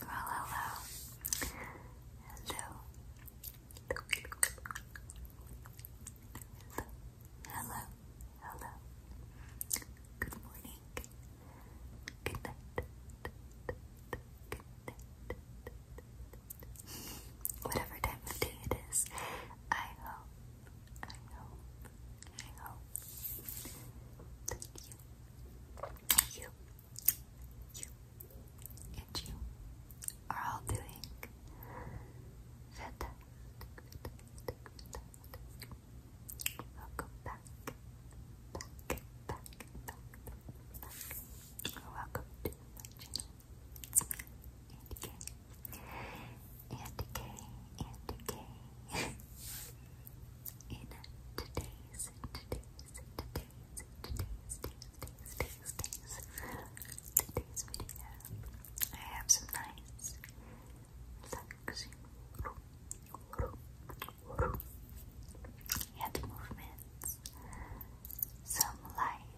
Hello, hello. Hello. Hello. Hello. Good morning. Good night. Good night. Whatever time of day it is, I hope, I hope, I hope that you you, you, and you are all doing fantastic, fantastic, fantastic. back, back, back, back, back. Welcome to my channel. It's me, Andy K. Andy K, Andy K. in today's, today's, today's, today's, today's, today's, today's, today's video, I have some nice, relaxing, head movements, some light,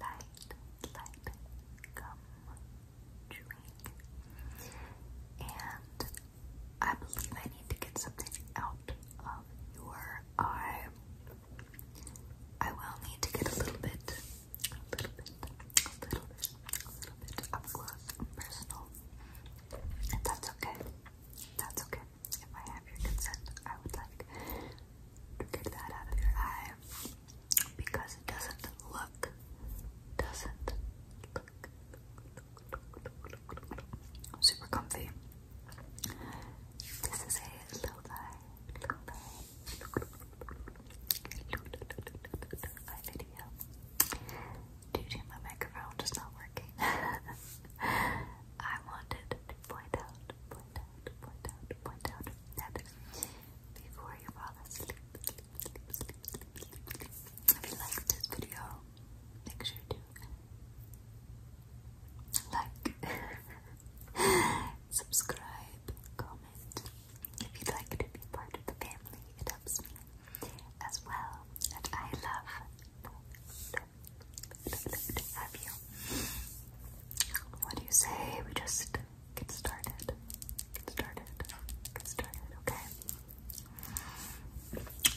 light, light gum chewing, and I believe I need to get something out of your eye. I will need to get a little bit, a little bit, a little bit, a little bit up close and personal. And that's okay. That's okay. If I have your consent, I would like to get that out of your eye because it doesn't look, doesn't look Super comfy. This is a lo-fi, lo video. Dude, my microphone just not working. I wanted to point out, point out, point out, point out that before you fall asleep, if you liked this video, make sure to like, subscribe, comment. If you'd like to be part of the family, it helps me as well. And I love, have you. What do you say? We just get started. Get started. Get started, okay?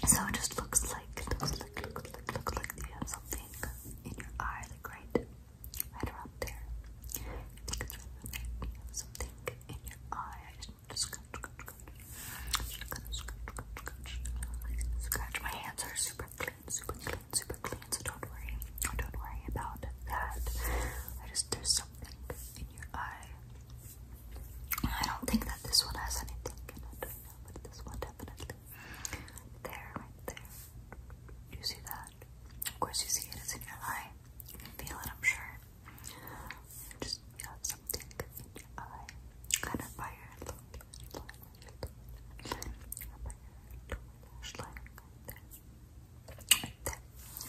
So it just looks like, looks looks like, looks like you have something in your eye, like right, right around there. I something in your eye. I just scratch, scratch, scratch, scratch, scratch. My hands are super clean, super clean, super clean. So don't worry, don't worry about that. I just there's something in your eye. I don't think that this one has anything but this one definitely. There, right there. you see that? Of course you see it, it's in your eye. You can feel it, I'm sure. Just something in your eye. Kind of by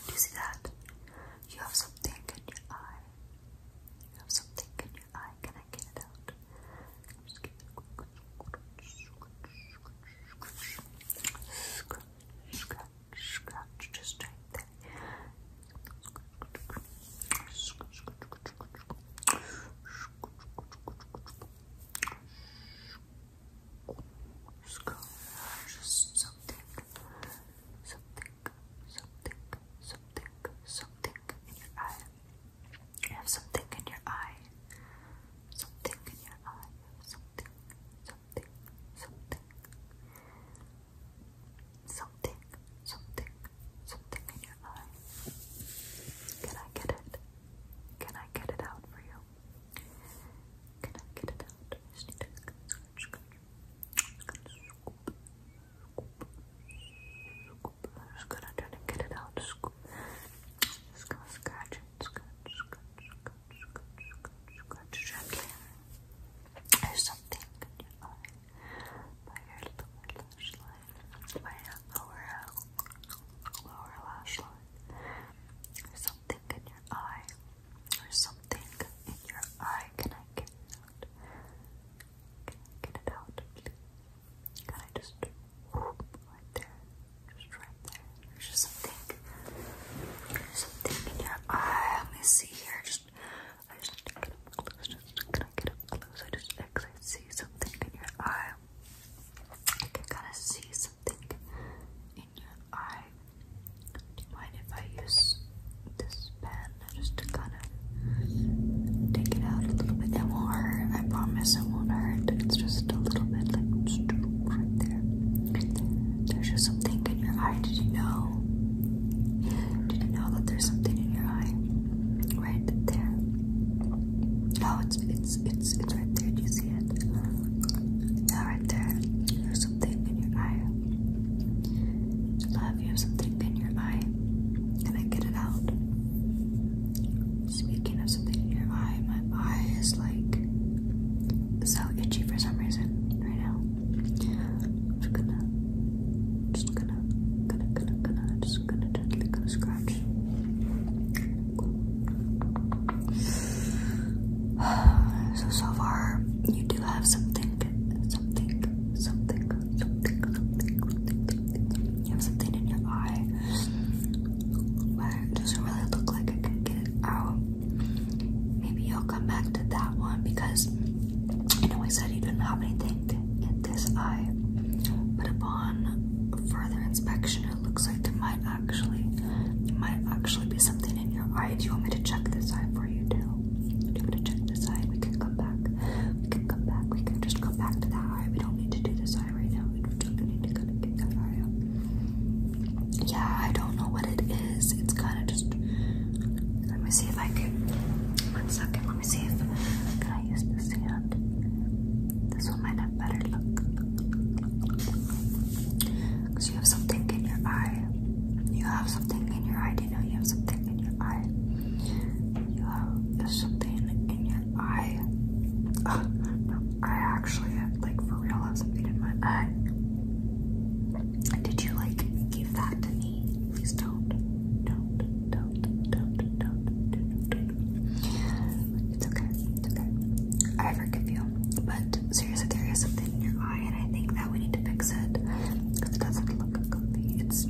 do you see that? You have something in your eye. You have something in your eye. Can I get it out? just something something, something, something in your eye. You have something in your eye. Something in your eye. Something, something, something. Something, something, something in your eye. Can I get it? Can I get it out for you? Can I get it out? scoop, scoop. just gonna try to get it out. Just gonna scratch it, scratch, scratch, scratch, scratch, scratch, scratch gently. There's something in your eye, by your lower lash line, by your lower, lower lash line. There's something in your eye. There's something in your eye. Can I get it out? Can I get it out, Can I just right there? Just right there. There's just something. something in your eye. Let me see here. Just I just get up close. Just can I get up close? I just I see something in your eye. I can kind of see something in your eye. Do you mind if I use this pen just to kind of take it out a little bit? It won't hurt. I promise it won't hurt. It's just a little bit like right there. There's just something in your eye. Did you know? Did you know that there's something in your eye? Right there. Oh, it's it's it's it's right there. Do you see it? Yeah, right there have something in your Love, you have something in your eye. Can I get it out? Speaking of something in your eye, my eye is like so itchy for some reason right now. just gonna, just gonna, gonna, gonna, gonna, just gonna gently gonna scratch. So so far, you do have something something, something, something, something, You have something in your eye, it doesn't really look like I can get it out. Maybe you'll come back to that one because I know I said you didn't have anything in this eye, but upon further inspection, it looks like there might actually, there might actually be something all right. Do you want me to check this eye for you too? Do you want me to check this eye? We can come back. We can come back. We can just come back to that eye. We don't need to do this eye right now. We just need to kind of get that eye up. Yeah, I don't know what it is. It's kind of just. Let me see if I can. One second. Let me see if can I use this hand. This one might have better look. Because you have something in your eye. You have something in your eye. Do you know you have something in your eye? You have something in your eye. Oh, no, I actually, like, for real, have something in my eye. Did you, like, give that to me? Please don't. Don't, don't, don't, don't, don't, don't. It's okay. It's okay. I forgive you. But seriously, there is something in your eye, and I think that we need to fix it because it doesn't look comfy. It's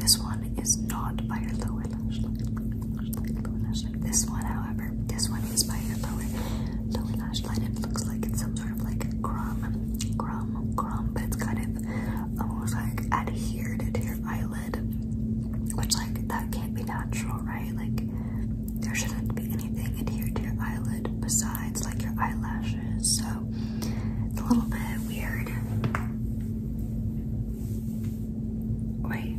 this one is not by your lower lower lash line. This one, however, this one is by your lower lower lash line. It looks like it's some sort of like crumb, crumb, crumb, but it's kind of almost like adhered to your eyelid, which like that can't be natural, right? Like there shouldn't be anything adhered to your eyelid besides like your eyelashes, so it's a little bit weird. Wait,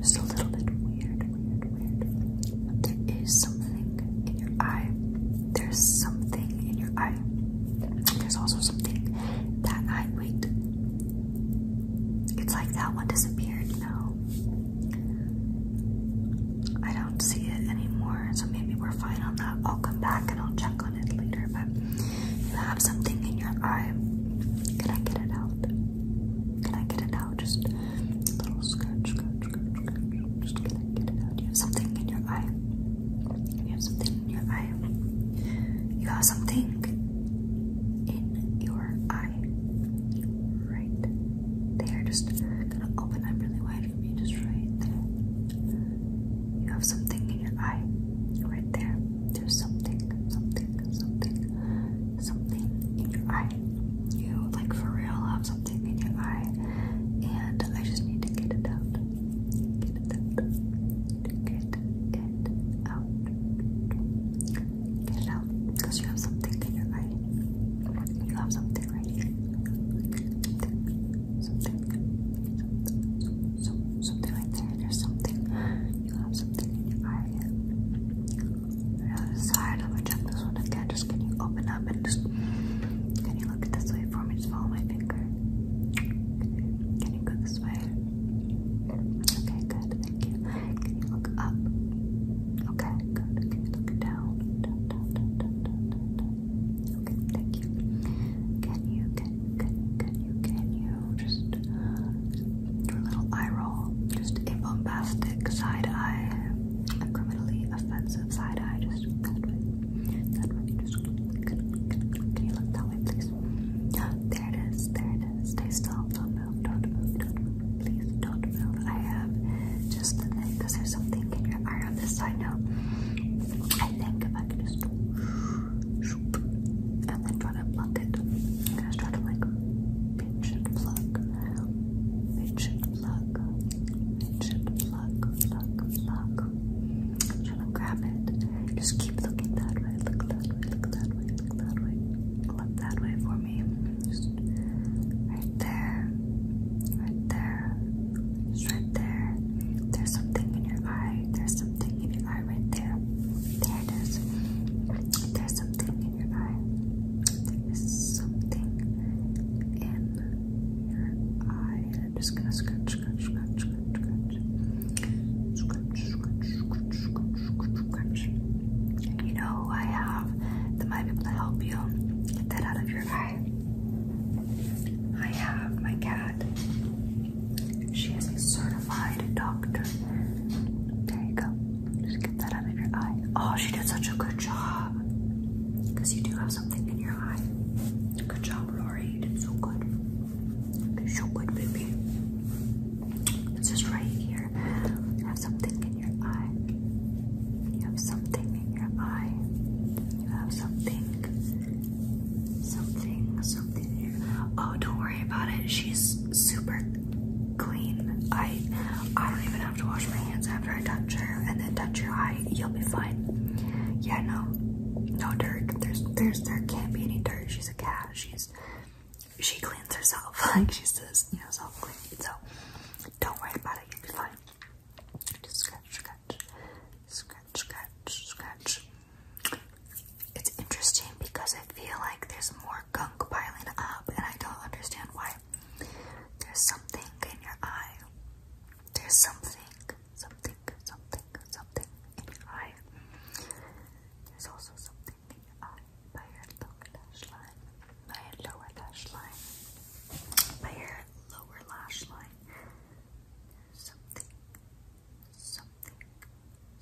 just a little bit weird, weird, weird. there is something in your eye. There's something in your eye. There's also something that I wait. It's like that one disappeared. No, I don't see it anymore, so maybe we're fine on that. I'll come back and I'll check on it later, but you have something in your eye. Can I get it out? Can I get it out? Just little scratch, scratch, scratch, scratch. Just get it out? You have something in your eye. You have something in your eye. You have something in your eye right there. Just gonna open up really wide for me, just right there. You have something in your eye, right there. There's something, something, something, something in your eye. You like for real have something in your eye, and I just need to get it out. Get it out. Get it out. Get it out. Because you have something in your eye. You have something. They're right here. Something. So, so, something right there. There's something. You have something in your eye. The other side. I'm gonna check this one again. Just can you open up and just can you look at this way for me? Just follow my finger. Can you go this way? Okay, good. Thank you. Can you look up? Okay. Good, good. look down. Down, down, down, down, down, down, down. Okay, thank you. Can you, can, can, can you, can you just do little eye roll? Just a bombastic side eye, a criminally offensive side eye. Just Just can you look that way, please? There it is. There it is. Stay still please don't move. I have just the neck because there's something in your eye on this side now. I think if I can just and then try to pluck it. I'm gonna try to like pinch and pluck, pinch and pluck, pinch and pluck, pluck, pluck. I'm trying to grab it. Just keep looking that way. Look that way. Look that way. Look that way. Look that way for me. Just right there, right there, just right there. There's something in your eye. There's something in your eye right there. There it is. There's something in your eye. There's something in your eye. And I'm just gonna scratch, scratch, scratch, scratch, scratch. Scratch, scratch, scratch, scratch, scratch, scratch. You know, I have that might be able to help you get that out of your eye. I have my cat. She is a certified doctor. There you go. Just get that out of your eye. Oh, she did such a good job. Because you do have something in your eye. Good job, Rory. You did so good. You did so good, baby. It's just right here. You have something in your eye. You have something in your eye. You have something. Something, something in Oh, don't worry about it. She's super clean. I I don't even have to wash my hands after I touch her and then touch your eye. You'll be fine. Yeah, no. No dirt. There's there's there can't be any dirt. She's a cat. She's she cleans herself. Like she says, you know, self clean. So don't worry about it, you'll be fine. scratch, scratch, scratch, scratch, scratch. It's interesting because I feel like there's more gunk piling up, and I don't understand why. There's something in your eye. There's something, something, something, something in your eye. There's also something in your eye by your lower lash line, by your lower lash line, by your lower lash line. something, something,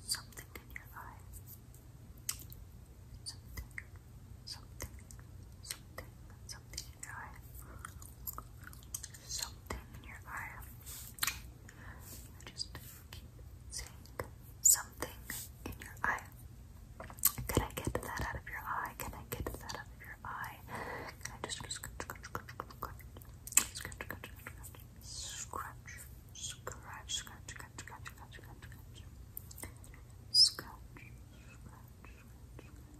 something in your eye. Something, something, something, something in your eye. Something in your eye. I just keep saying something, in your eye. Can I get that out of your eye? Can I get that out of your eye? Can I just scratch, scratch, scratch, scratch, scratch, scratch, scratch, scratch, scratch, scratch, scratch, scratch, scratch, scratch,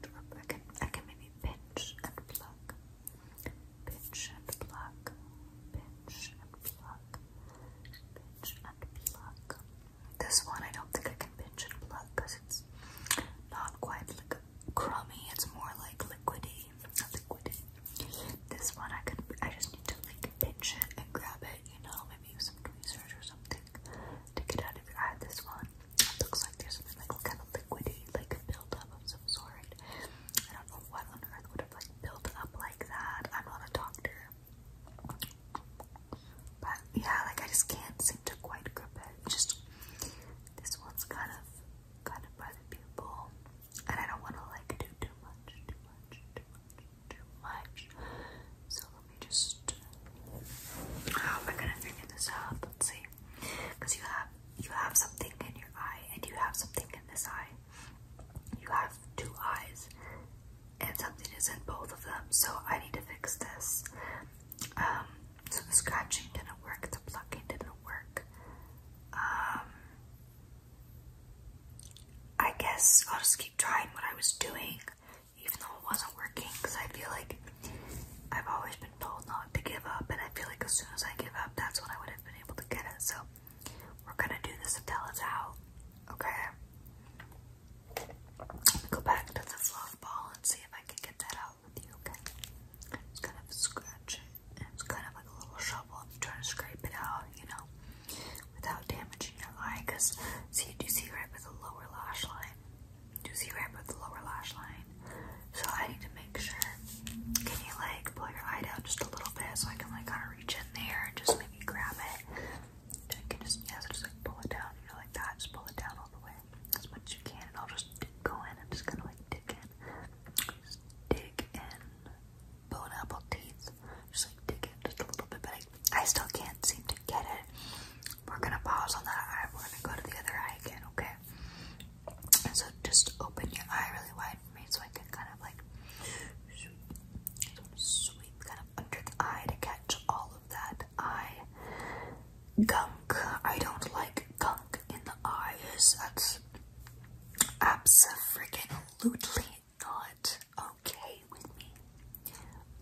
I can, I can maybe pinch and pluck, pinch and pluck, pinch and pluck, pinch and pluck. Pinch and pluck. This one I don't think I can pinch and pluck because it's not quite like crummy. It's more like liquidy, liquidy. This one I could, I just need to like pinch it and grab it. You know, maybe use some tweezers or something to get out of I had This one it looks like there's something like kind of liquidy, like a buildup of some sort. I don't know what on earth would have like built up like that. I'm not a doctor. But yeah, like I just can't seem to quite grip it. Just this one's kind of kind of by the pupil, and I don't want to like do too much, too much, too much, too much. So let me just. How oh, am I gonna figure this out? Let's see, because you have you have something in your eye, and you have something in this eye. You have two eyes, and something is in both of them, so I need to fix this. Um, so the scratching didn't work, the plucking didn't work. Um, I guess I'll just keep trying what I was doing, even though it wasn't working, because I feel like I've always been told not to give up, and I feel like as soon as I give up, that's when I would have been able to get it. So we're gonna do this until it's out, okay? go back to the fluff ball and see if I can get that out with you, okay? It's kind of scratch it. It's kind of like a little shovel. If you're trying to scrape it out, you know, without damaging your eye. Because, see, do you see right with the lower lash line? Do you see right with the lower lash line? So I need to make sure. Can you, like, pull your eye down just a little bit so I can, like, kind of reach in there and just maybe grab it? you can just, yeah, just like pull it down, you know, like that. Just pull it down all the way as much as you can, and I'll just go in and just kind of like dig in. dig in. Bone apple teeth. Just like dig in just a little bit, but I, I still can't seem to get it. We're gonna pause on that eye. We're gonna go to the other eye again, okay? And so just open your eye really wide for me so I can kind of like sweep, sweep, kind under the eye to catch all of that eye gunk. I don't like gunk in the eyes. That's absolutely not okay with me.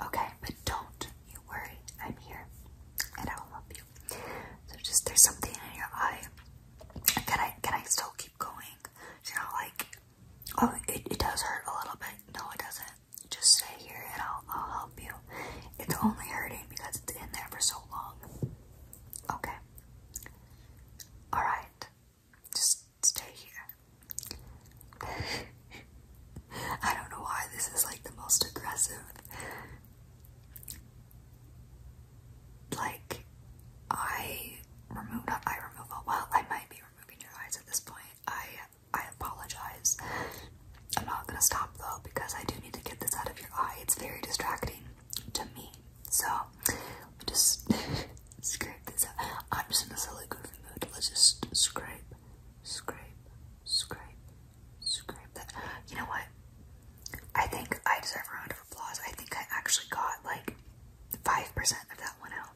Okay, but don't you worry. I'm here and I'll help you. So just there's something in your eye. Can I can I still keep going? You're not like oh it, it does hurt a little bit. No it doesn't. Just stay here and I'll, help you. It's only hurting because it's in there for so long. Okay. Alright. Just stay here. I don't know why this is like the most aggressive. Like, I remove, not eye removal. Well, I might be removing your eyes at this point. I I apologize. I'm not gonna stop though because I do need to get this out of your eye. It's very distracting to me. So just scrape this out. I'm just in a silly goofy mood. Let's just scrape, scrape, scrape, scrape that. You know what? I think I deserve a round of applause. I think I actually got like 5% of that one out.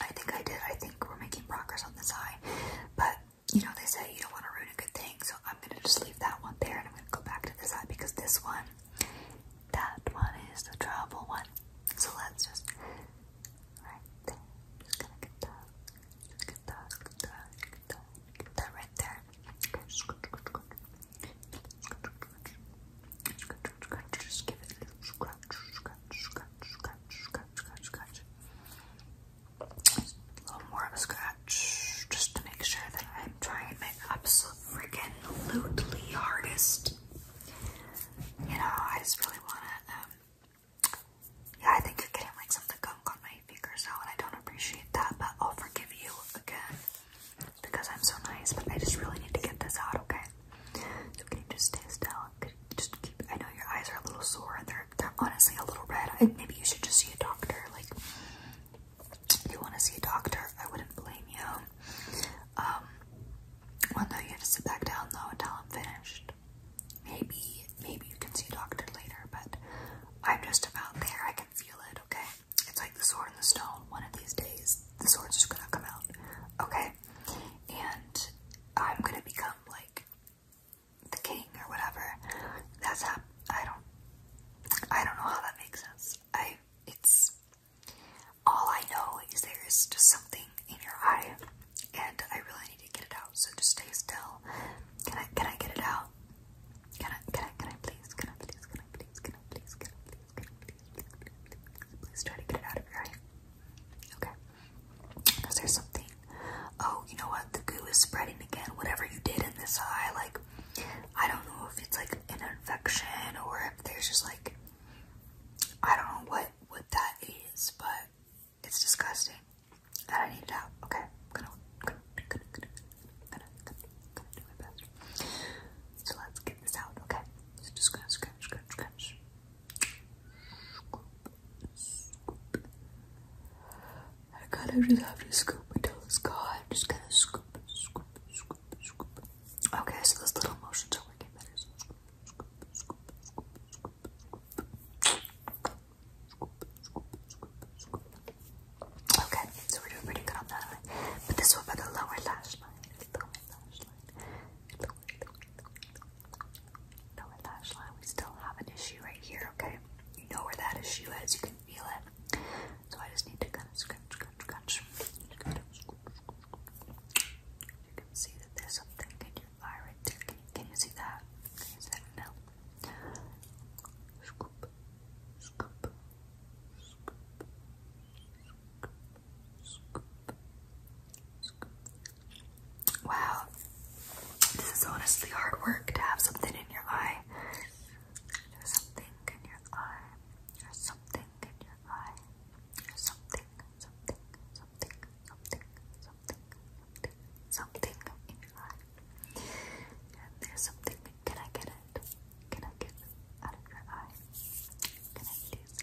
I think I did. I think we're making progress on this eye. But, you know, they say you don't want to ruin a good thing. So I'm going to just leave that one there and I'm going to go back to this eye because this one, that one is the trouble one. So let's just, right there. Just going to get that. get that. Get that. Get that. Get that right there. Just give it a little scratch, scratch, scratch, scratch, scratch. Just a little more of a scratch just to make sure that I'm trying my absolute freaking lutely hardest. You know, I just really want to, um, yeah, I think you're getting like some of the gunk on my fingers now, and I don't appreciate that, but I'll forgive you again because I'm so nice, but I just really need to get this out, okay? So can just stay still? just keep? I know your eyes are a little sore and they're they're honestly a little red. maybe you should just see a doctor. Like, if you want to see a doctor, I wouldn't blame you. Um, well, no, you have to sit back down though until I'm finished. Maybe maybe you can see a doctor later, but I'm just about there. I can feel it. Okay, it's like the sword and the stone. One of these days, the sword's just gonna come out. Okay, and I'm gonna become like the king or whatever. That's how I don't I don't know how that makes sense. I it's all I know is there is just something in your eye and I really need to get it out. So just stay still. Can I can I get it out? Can I can I can I please? Can I please? Can I please? Can I please? Can I please? Please try to get it out of your eye. Okay. Because there's something. Oh, you know what? The goo is spreading again. Whatever you did in this eye, like, I don't know if it's like an infection or if there's just like, I don't know what what that is, but it's disgusting. I need to help. Okay, gonna, do my best. So let's get this out. Okay, just gonna scratch, scratch, scratch. I kind of just have to scoop until it's gone. am just gonna scoop, scoop, Okay, so this little motions are working better. Okay, so we're doing pretty good on that But this one by the lower lash line, Lower lash line, we still have an issue right here, okay? You know where that issue is, you can feel it. So I just need to kind of scratch, scratch, scratch. You can see that there's something in your eye right there. Can you, can you see that? Can you see that? No. Scoop, scoop, scoop, scoop, scoop, Wow, this is honestly hard work to have something in your eye. There's something in your eye. There's something in your eye. There's something, something, something, something, something, something, in your eye. And there's something. Can I get it? Can I get out of your eye? Can I please?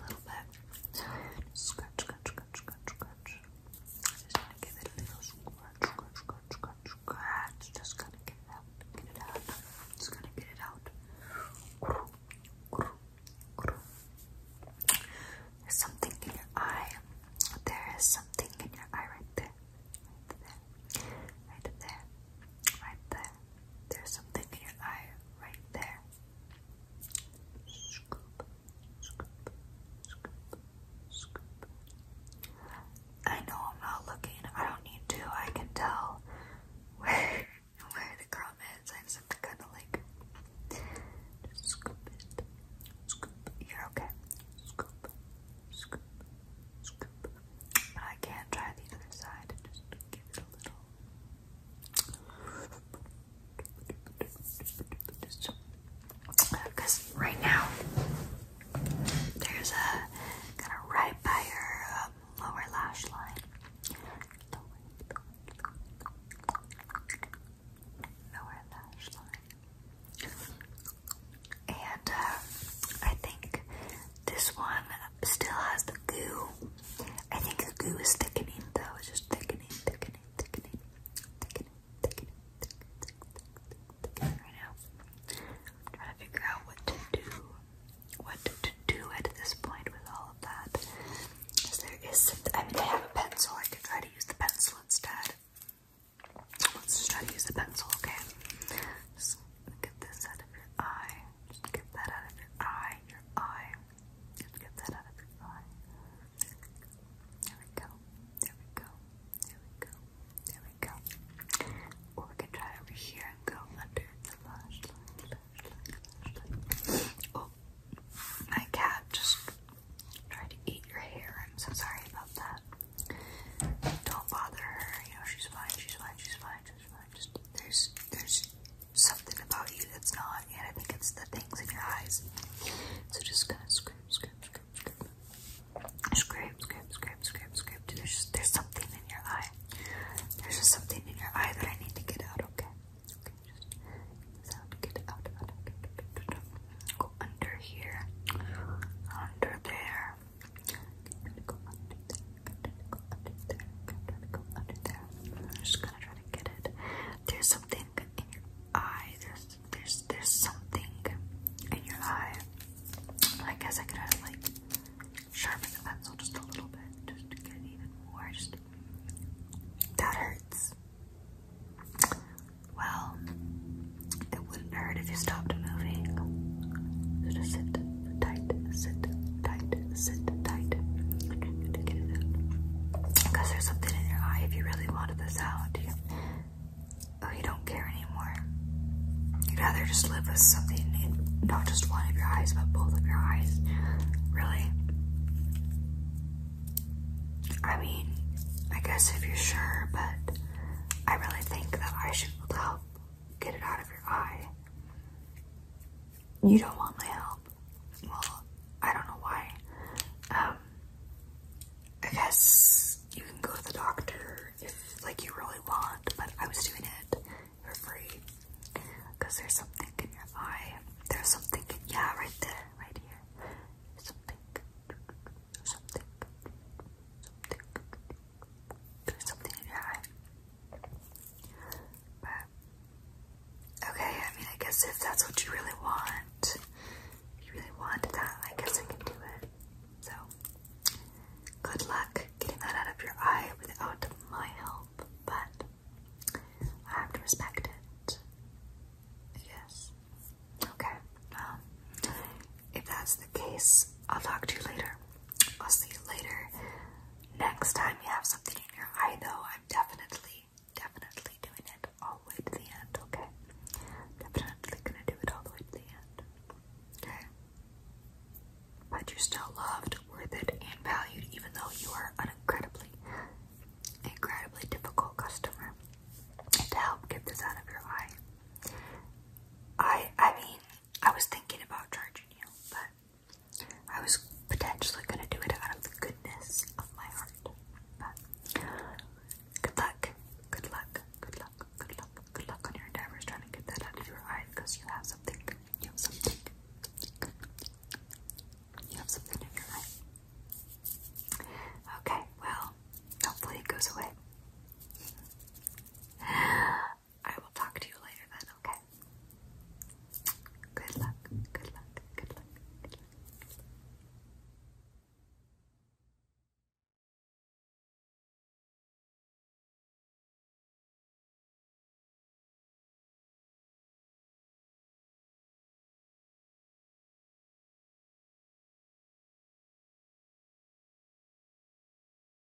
little bit. Scratch, scratch, scratch, scratch, scratch. Just gonna give it a little scratch, scratch, scratch, scratch, Just gonna get it out, get it out. Just gonna get it out. There's something in your eye. There is something in your eye right there. Right there. Right there. Right there. There's something in your eye right there. I know I'm not looking. I don't need to. I can tell where where the crumb is. I just kind of like scoop it. You're okay. But I can try the other side because right now, there's a kind of right by um, your lower lash line. Lower lash line. And uh, I think this one still has the goo. I think the goo is thickening though. It's just thickening, thickening, thickening, thickening, thickening, thickening, thickening right now. I'm trying to figure out what to do, what to do at this point with all of that. Because there is something, I mean, I have a pencil. I could try to use the pencil instead. Let's just try to use the pencil, okay? Just Get this out of your eye. get that out of your eye. Your eye. get that out of your eye. There we go. There we go. There we go. There we go. Or we can try over here and go under the lash line. Oh, my cat just tried to eat your hair. I'm so sorry about that. Don't bother her. You know, she's fine. She's fine. She's fine there's there's something about you that's not, and I think it's the things in your eyes. So just kind of scrape, scrape, scrape, scrape, scrape, scrape, scrape, scrape, scrape. There's there's something in your eye. There's just something in your eye that I need to get out. Okay, okay, just get out, out, out, out, out, out, out. Go under here, under there. I'm just gonna try to get it. There's something in your eye. There's there's there's something in your eye. I guess I could have like sharpened the pencil just a little bit, just to get even more. Just that hurts. Well, it wouldn't hurt if you stopped moving. just sit tight, sit tight, sit tight. Because there's something in your eye if you really wanted this out. You, oh, you don't care anymore. You'd rather just live with something in not just one of your eyes, but both of your eyes. Really? I mean, I guess if you're sure, but I really think that I should help get it out of your eye you don't want my help. Well, I don't know why. Um, I guess you can go to the doctor if, like, you really want, but I was doing it for free. Because there's something in your eye. There's something, yeah, right there, right here. Something, something, something. There's something in your eye. But, okay, I mean, I guess if that's what you really want, you really want that, I guess I can do it. So, good luck getting that out of your eye without my help, but I have to respect it. Yes. Okay. Um, if that's the case, I'll talk to you later. I'll see you later. Next time you have something in your eye, though, I'm definitely, definitely doing it all the way to the end, okay? Definitely gonna do it all the way to the end, okay? But you're still loved, worth it, and valued, even though you are an incredibly, incredibly difficult customer to help get this out of your eye. I, I mean, I was thinking about charging you, but I was potentially going to do it out of the goodness of my heart. But good luck, good luck, good luck, good luck, good luck on your endeavors trying to get that out of your eye you have something, you have something, you have something in your eye. Okay, well, hopefully it goes away. I will talk to you later then, okay? Good luck, good luck, good luck, good luck.